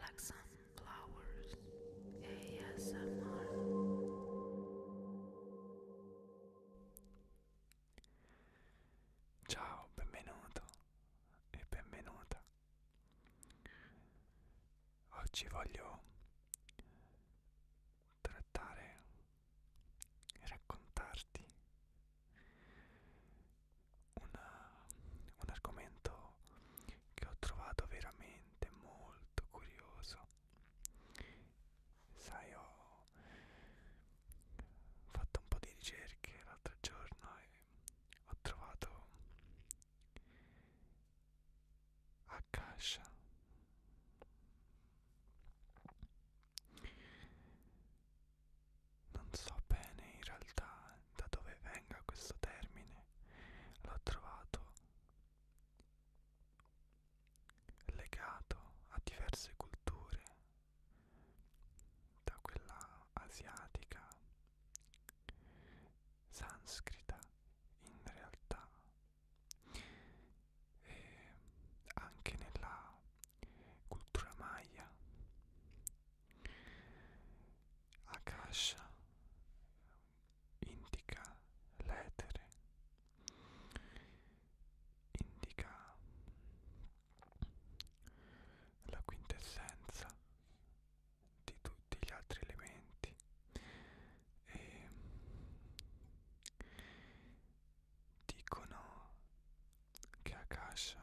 Like Sunflowers ASMR Ciao, benvenuto e benvenuta. Oggi voglio trattare e raccontarti una, un argomento che ho trovato veramente molto curioso. Sai, ho fatto un po' di ricerche l'altro giorno e ho trovato Akasha. Non so bene in realtà da dove venga questo termine, l'ho trovato legato a diverse culture, da quella asiatica, sanscrita in realtà, e anche nella cultura maya Akasha indica l'etere, indica la quintessenza di tutti gli altri elementi e dicono che Akasha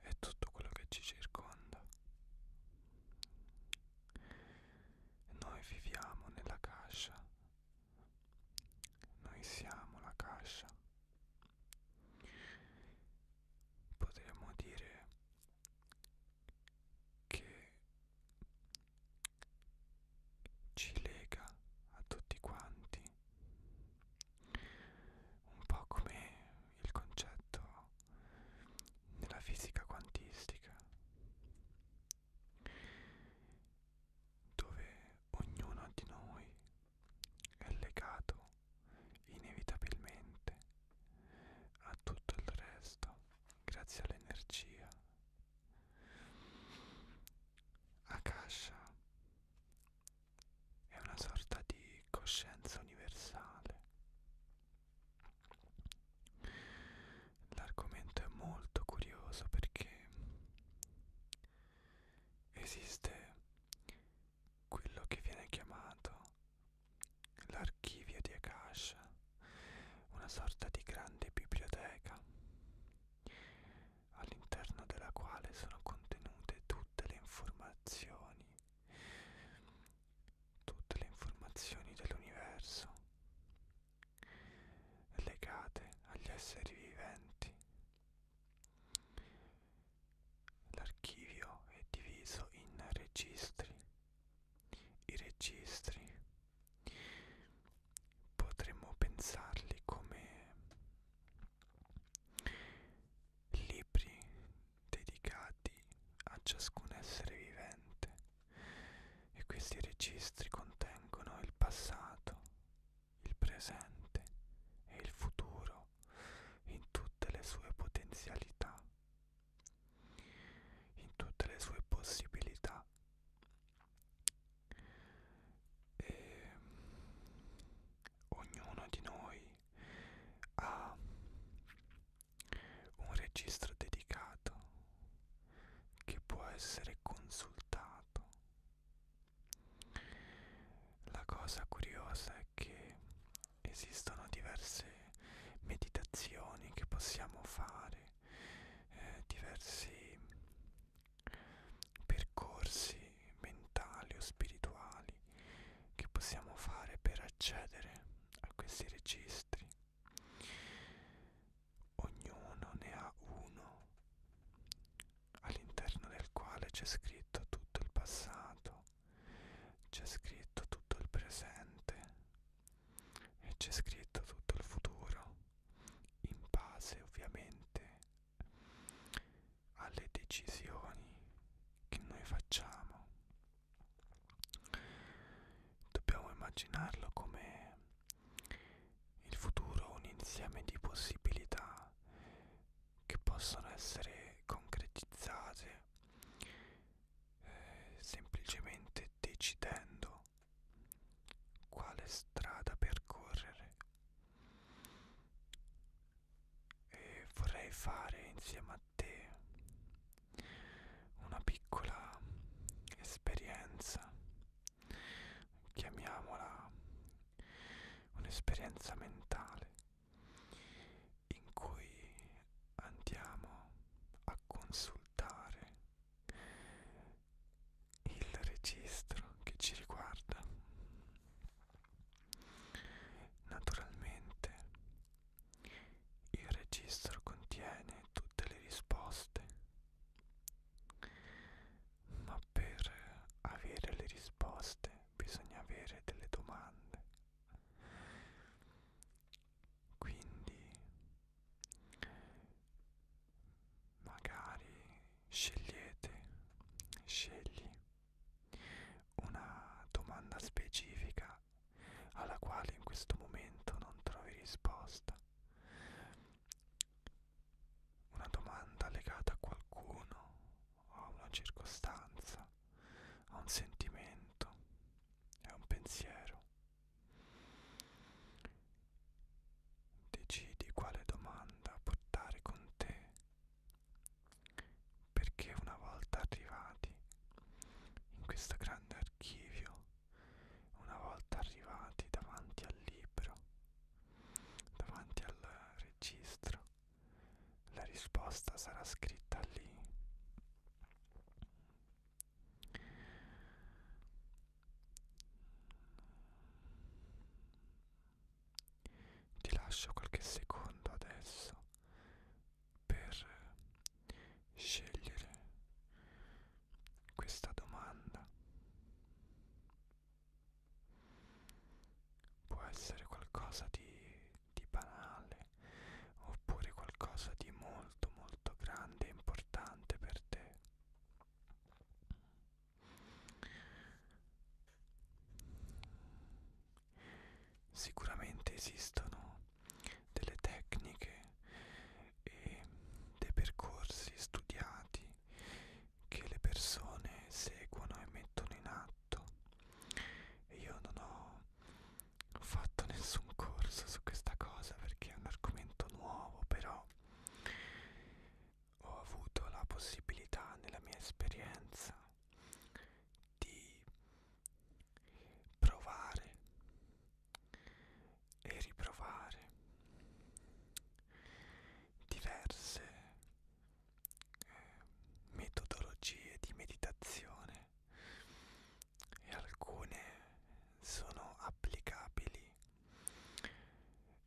è tutto quello che ci circonda. E noi viviamo nella cascia, noi siamo la cascia. Potremmo dire che ci lega a tutti quanti, un po' come il concetto nella fisica quantistica, dove ognuno di noi è legato inevitabilmente a tutto il resto grazie all'energia Akasha è una sorta di coscienza universale. L'argomento è molto curioso perché esiste quello che viene chiamato l'archivio di Akasha, una sorta di grande biblioteca all'interno della quale sono contenute tutte le informazioni, tutte le informazioni dell'universo legate agli esseri viventi. L'archivio è diviso in registri. I registri Potremmo pensarli come libri dedicati a ciascun essere vivente e questi registri contengono il passato, il presente e il futuro in tutte le sue potenzialità, in tutte le sue possibilità e ognuno di noi ha un registro dedicato che può essere consultato. La cosa curiosa è che esistono diverse meditazioni che possiamo fare, eh, diversi percorsi mentali o spirituali che possiamo fare per accedere a questi registri. Ognuno ne ha uno all'interno del quale c'è scritto tutto il passato, c'è scritto tutto il presente e c'è scritto tutto il futuro in base ovviamente alle decisioni che noi facciamo. Dobbiamo immaginarlo come il futuro un insieme di possibilità che possono essere concretizzate eh, semplicemente decidendo quale strada percorrere e vorrei fare insieme a te una piccola esperienza chiamiamola un'esperienza mentale in cui andiamo a consultare il registro che ci riguarda. Naturalmente il registro contiene tutte le risposte, ma per avere le risposte bisogna avere delle domande quindi magari scegliete scegli una domanda specifica alla quale in questo momento non trovi risposta una domanda legata a qualcuno o a una circostanza a un sentimento a un pensiero Decidi quale domanda portare con te, perché una volta arrivati in questo grande archivio, una volta arrivati davanti al libro, davanti al registro, la risposta sarà scritta lì. Ti lascio qualche secondo adesso per scegliere questa domanda. Può essere qualcosa di, di banale oppure qualcosa di molto molto molto grande e importante per te sicuramente esistono delle tecniche e dei percorsi studiati che le persone seguono e mettono in atto e io non ho fatto nessun corso su questa cosa perché è un argomento nuovo, però ho avuto la possibilità nella mia esperienza di provare e riprovare diverse eh, metodologie di meditazione e alcune sono applicabili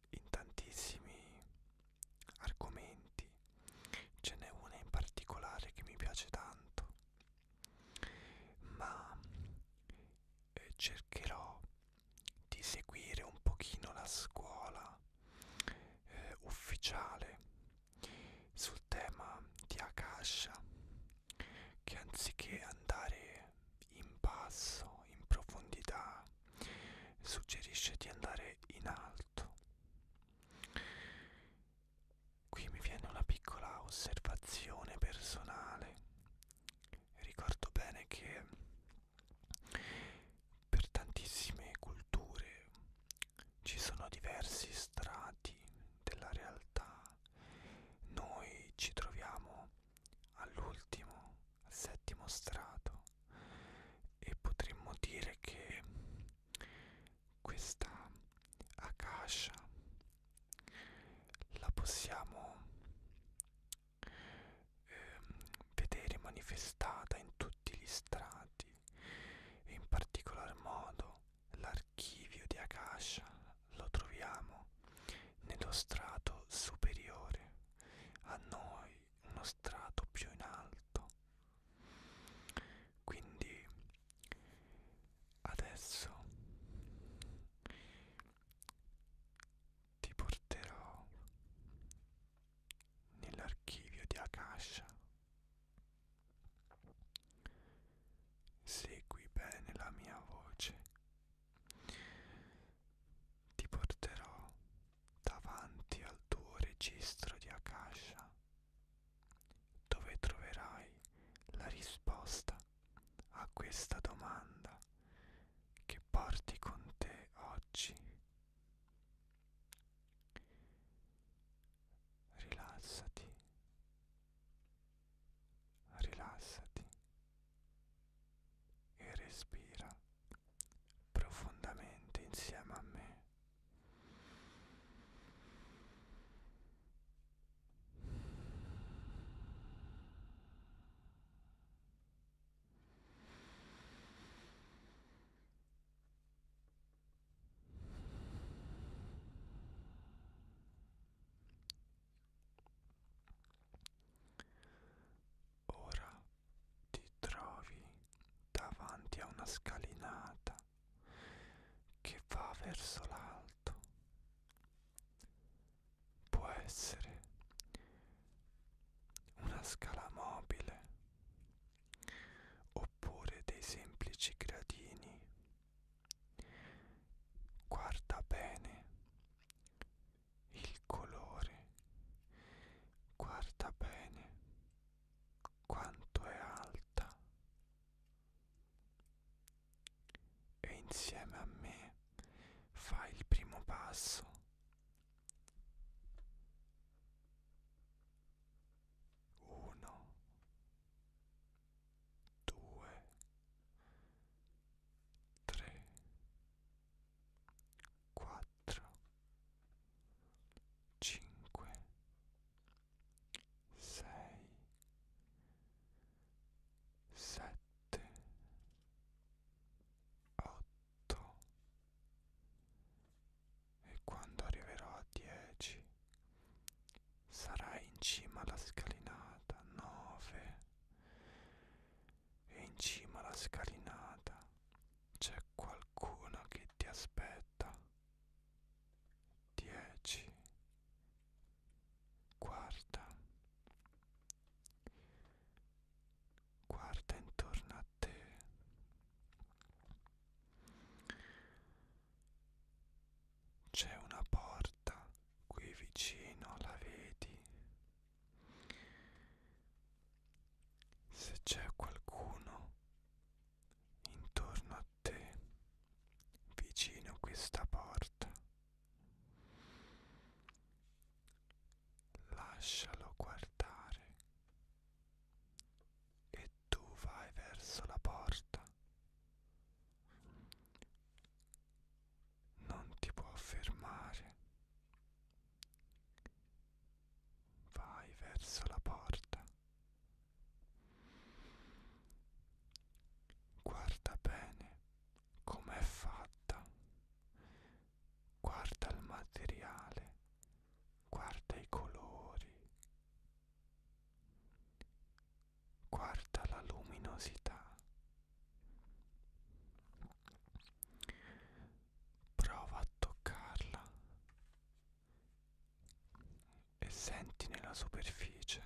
in tantissimi argomenti ce n'è una in particolare che mi piace tanto ma eh, cercherò di seguire un pochino la scuola eh, ufficiale sul tema di Akasha che anziché andare in basso, in profondità, suggerisce di andare in alto. Qui mi viene una piccola osservazione personale. Ricordo bene che per tantissime culture ci sono diversi strati della realtà noi ci troviamo all'ultimo, al settimo strato e potremmo dire che questa akasha la possiamo ehm, vedere manifestata in tutti gli strati e in particolar modo l'archivio di Akasha lo troviamo nello strato superiore, a noi uno strato più in alto. Quindi adesso ti porterò nell'archivio di Akasha Segui bene la mia voce. Ti porterò davanti al tuo registro di Akasha, dove troverai la risposta a questa domanda che porti con te oggi rilassati, rilassati e respira profondamente insieme a me. Ora ti trovi davanti a una scalinata che va verso l'alto. Può essere una scala mobile oppure dei semplici gradini. Guarda bene il colore, guarda bene quanto è alta e insieme a me fai il primo passo uno, due, tre, quattro, cinque, sei, sette, otto, e quando arriverò a 10 sarai in cima alla scalinata 9 e in cima alla scalinata c'è qualcuno che ti aspetta 10 guarda guarda intorno a latte c'è una porta qui vicino la vedi se c'è qualcuno intorno a te vicino a questa porta lascialo guardare e tu vai verso la porta. Non ti può fermare. Vai verso la porta. Guarda bene com'è fatta. Guarda il materiale guarda i colori, guarda la luminosità, prova a toccarla e senti nella superficie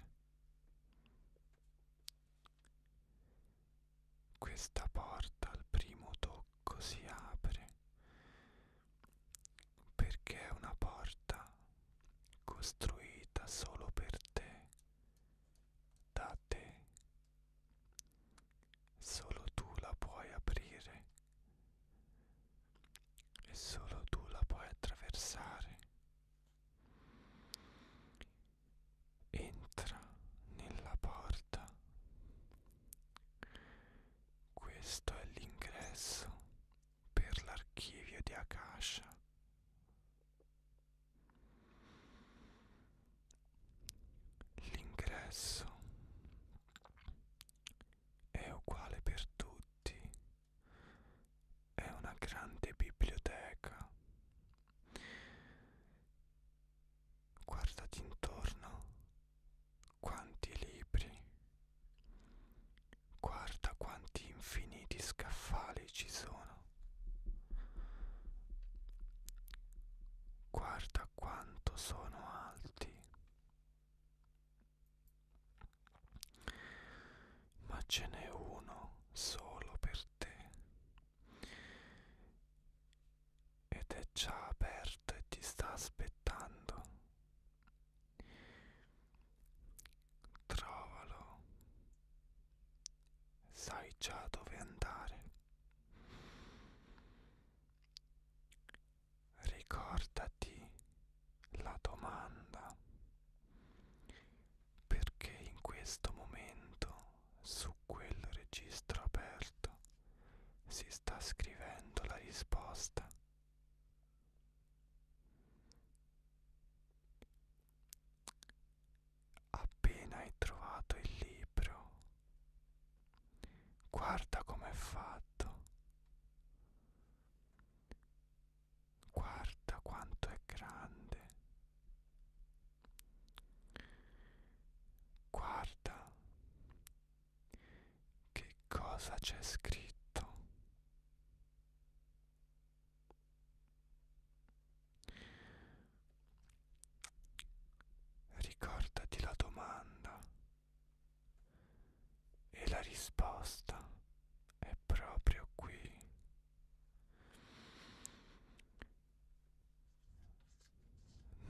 questa porta al primo tocco si apre perché è una porta costruita solo per te, da te. Solo tu la puoi aprire e solo tu la puoi attraversare. Entra nella porta questo è l'ingresso per l'archivio di Akasha. L'ingresso è uguale per tutti, è una grande biblioteca. Guardati intorno quanti libri, guarda quanti infiniti scaffali ci sono, guarda quanto sono alti, ma ce n'è uno solo per te ed è già aperto e ti sta aspettando. Trovalo, sai già dove andare. Ricordati la domanda perché in questo momento su quel registro aperto si sta scrivendo la risposta. Appena hai trovato il libro, guarda com'è fatto, guarda quanto è grande, guarda che cosa c'è scritto? Ricordati la domanda e la risposta è proprio qui.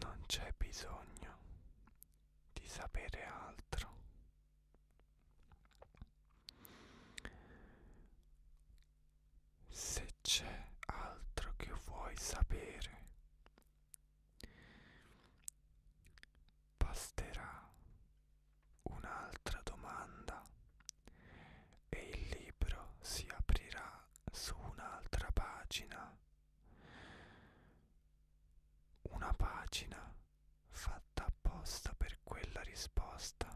Non c'è bisogno di sapere altro. Se c'è altro che vuoi sapere, basterà un'altra domanda e il libro si aprirà su un'altra pagina una pagina fatta apposta per quella risposta.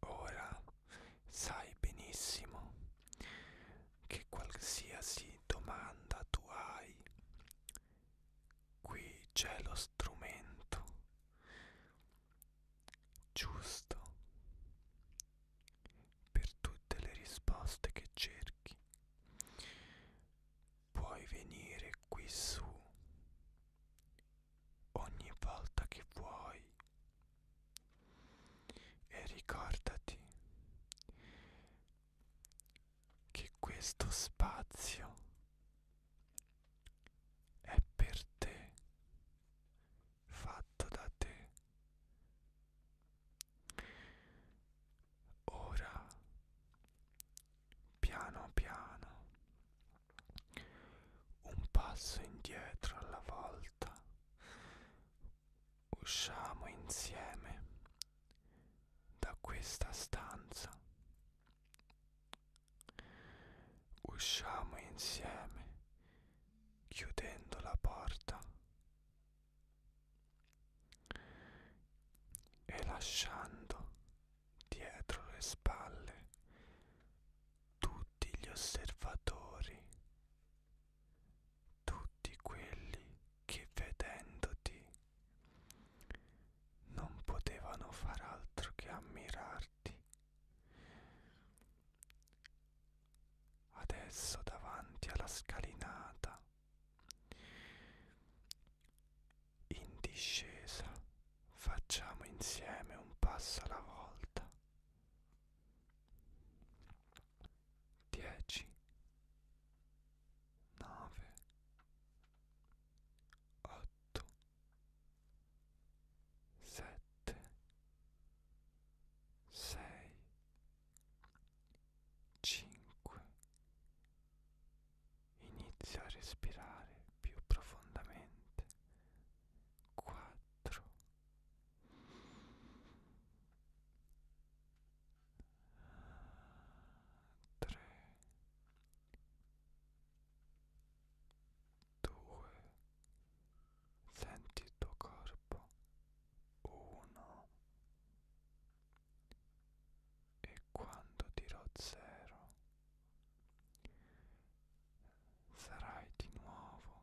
Ora sai benissimo che qualsiasi domanda tu hai, qui c'è lo strumento giusto per tutte le risposte che cerchi. Puoi venire qui su ogni volta che vuoi e ricordati che questo spazio è per te, fatto da te. Ora, piano piano, un passo indietro alla volta, usciamo insieme da questa stanza. Usciamo insieme chiudendo la porta e lasciando dietro le spalle tutti gli osservatori tutti quelli che vedendoti non potevano far altro che ammirarti. Adesso davanti alla scalinata, in discesa, facciamo insieme un passo alla volta. 10 9 8 7 6 5 Inizia a respirare più profondamente 4 tre due senti il tuo corpo uno e quando dirò zero sarai di nuovo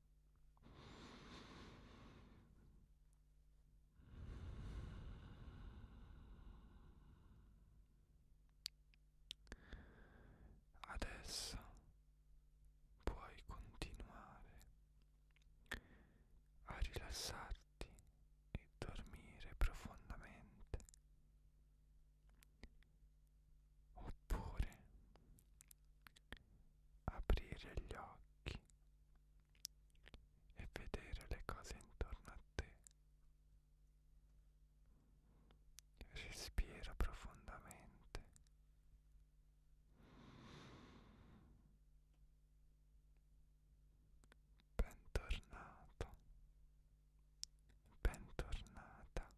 Adesso puoi continuare a rilassarti e dormire profondamente oppure aprire gli occhi e vedere le cose intorno a te. Respira profondamente. Bentornato, bentornata.